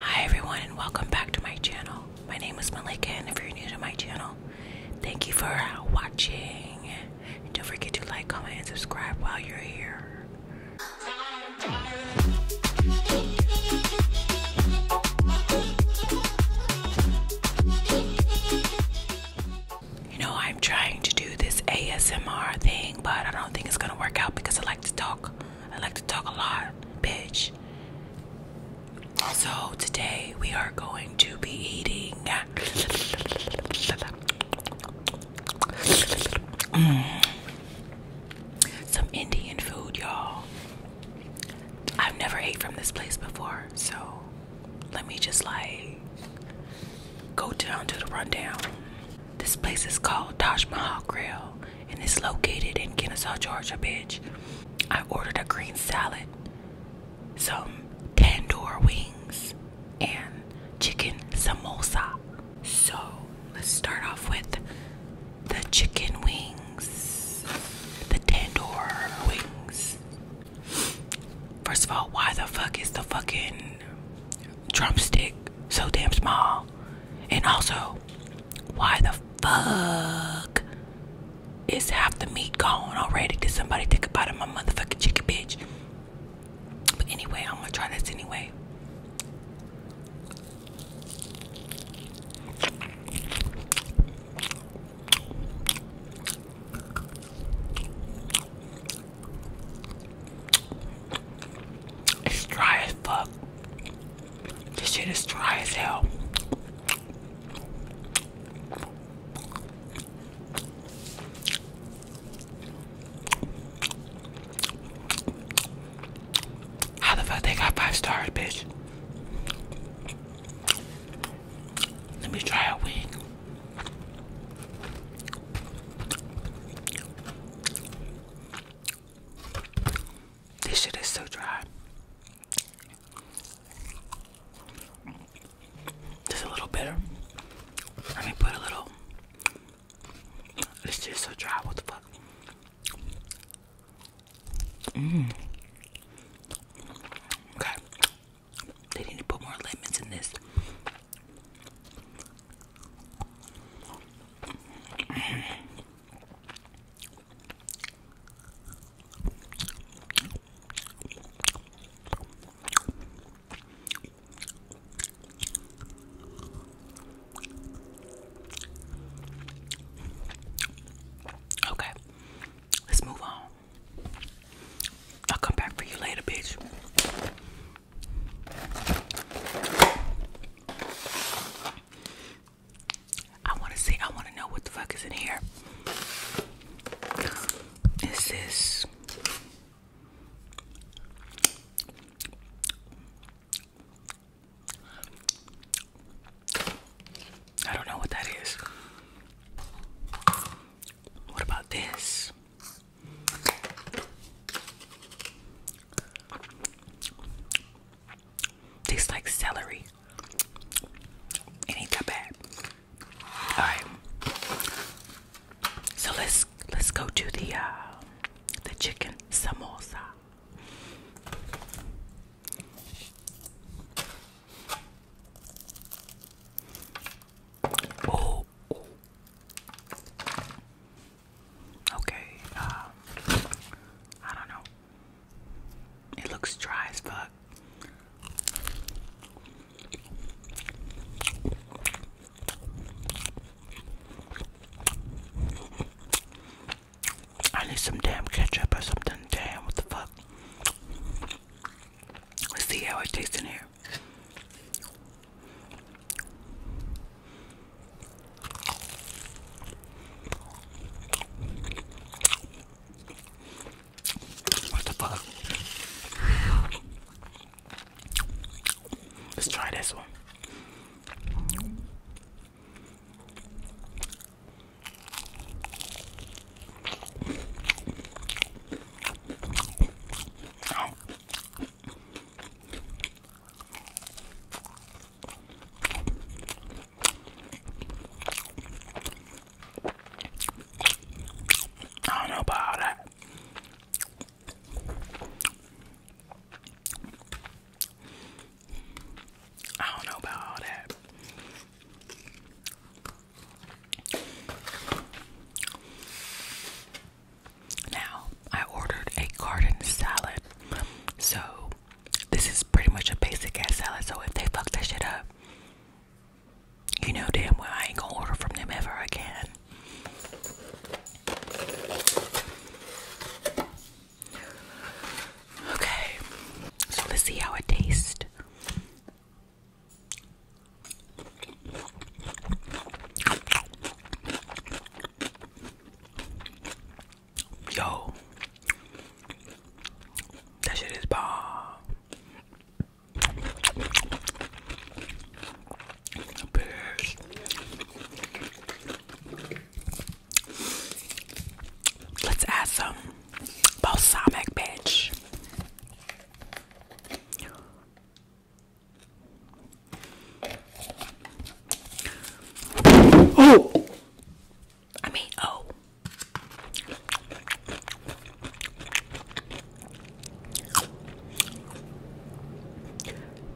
Hi everyone and welcome back to my channel. My name is Melika, and if you're new to my channel, thank you for watching. don't forget to like, comment, and subscribe while you're here. You know, I'm trying to do this ASMR thing, but I don't think it's gonna work out because I like to talk I like to talk a lot, bitch. So today we are going to be eating. Mm. Some Indian food, y'all. I've never ate from this place before, so let me just like go down to the rundown. This place is called Taj Mahal Grill and it's located in Kennesaw, Georgia, bitch. I ordered a green salad, some tandoor wings, and chicken samosa. So let's start off with the chicken wings, the tandoor wings. First of all, why the fuck is the fucking drumstick so damn small? And also, why the fuck is half the meat gone already? Did somebody take a bite of my motherfucking chicken, bitch? But anyway, I'm gonna try this anyway. It's dry as fuck. This shit is dry as hell. How the fuck they got five stars, bitch? Let me try a wing. This shit is so dry. Just a little bitter. Let me put a little. It's just so dry. What the fuck? Mmm. Okay. They need to put more lemons in this. Okay, let's move on. I'll come back for you later, bitch. I want to see, I want to know what the fuck is in here. This I don't know what that is. What about this? Tastes like celery. It ain't that bad. Alright. So let's let's go to the uh, the chicken samosa. Okay, uh, I don't know. It looks dry as fuck. I need some damn ketchup or something. Damn, what the fuck? Let's see how it tastes in here. What the fuck? Let's try this one. Oh. I don't know about that. I don't know about that. Now, I ordered a garden salad. So, this is pretty much a basic ass salad. So, if they fuck that shit up, you know damn well I ain't gonna order from them ever again. Okay, so let's see how it tastes. Yo, that shit is bomb. Let's add some balsamic, bitch. Oh! I mean, oh.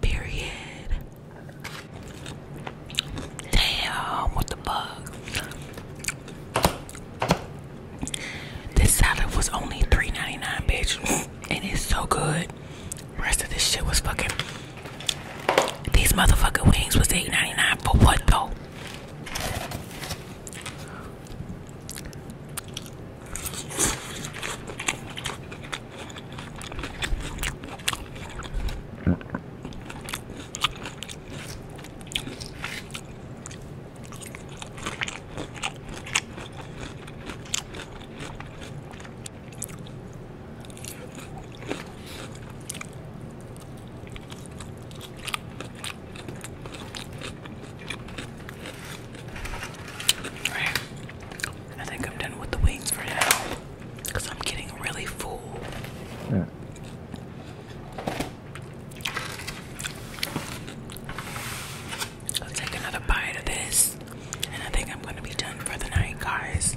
Period. Damn, what the fuck? This salad was only 3 bitch, and it's so good. Rest of this shit was fucking. These motherfucking wings was eight ninety nine dollars for what though? I think I'm done with the wings for now because I'm getting really full. Yeah. I'll take another bite of this, and I think I'm gonna be done for the night, guys.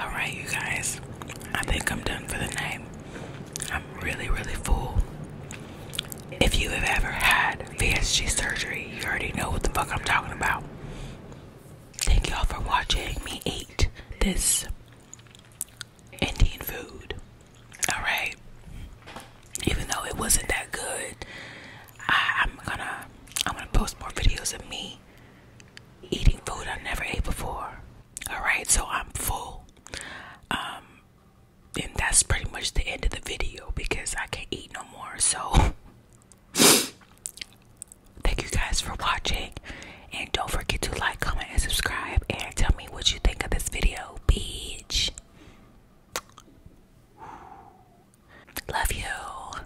All right, you guys, I think I'm done for the name. I'm really, really full. If you have ever had VSG surgery, you already know what the fuck I'm talking about. Thank y'all for watching me eat this Indian food. Alright? Even though it wasn't that good, I'm gonna I'm gonna post more videos of me eating food I never ate before. All right, so I'm full. Um, and that's pretty much the end of the video because I can't eat no more. So, thank you guys for watching. And don't forget to like, comment, and subscribe. And tell me what you think of this video, bitch. Love you.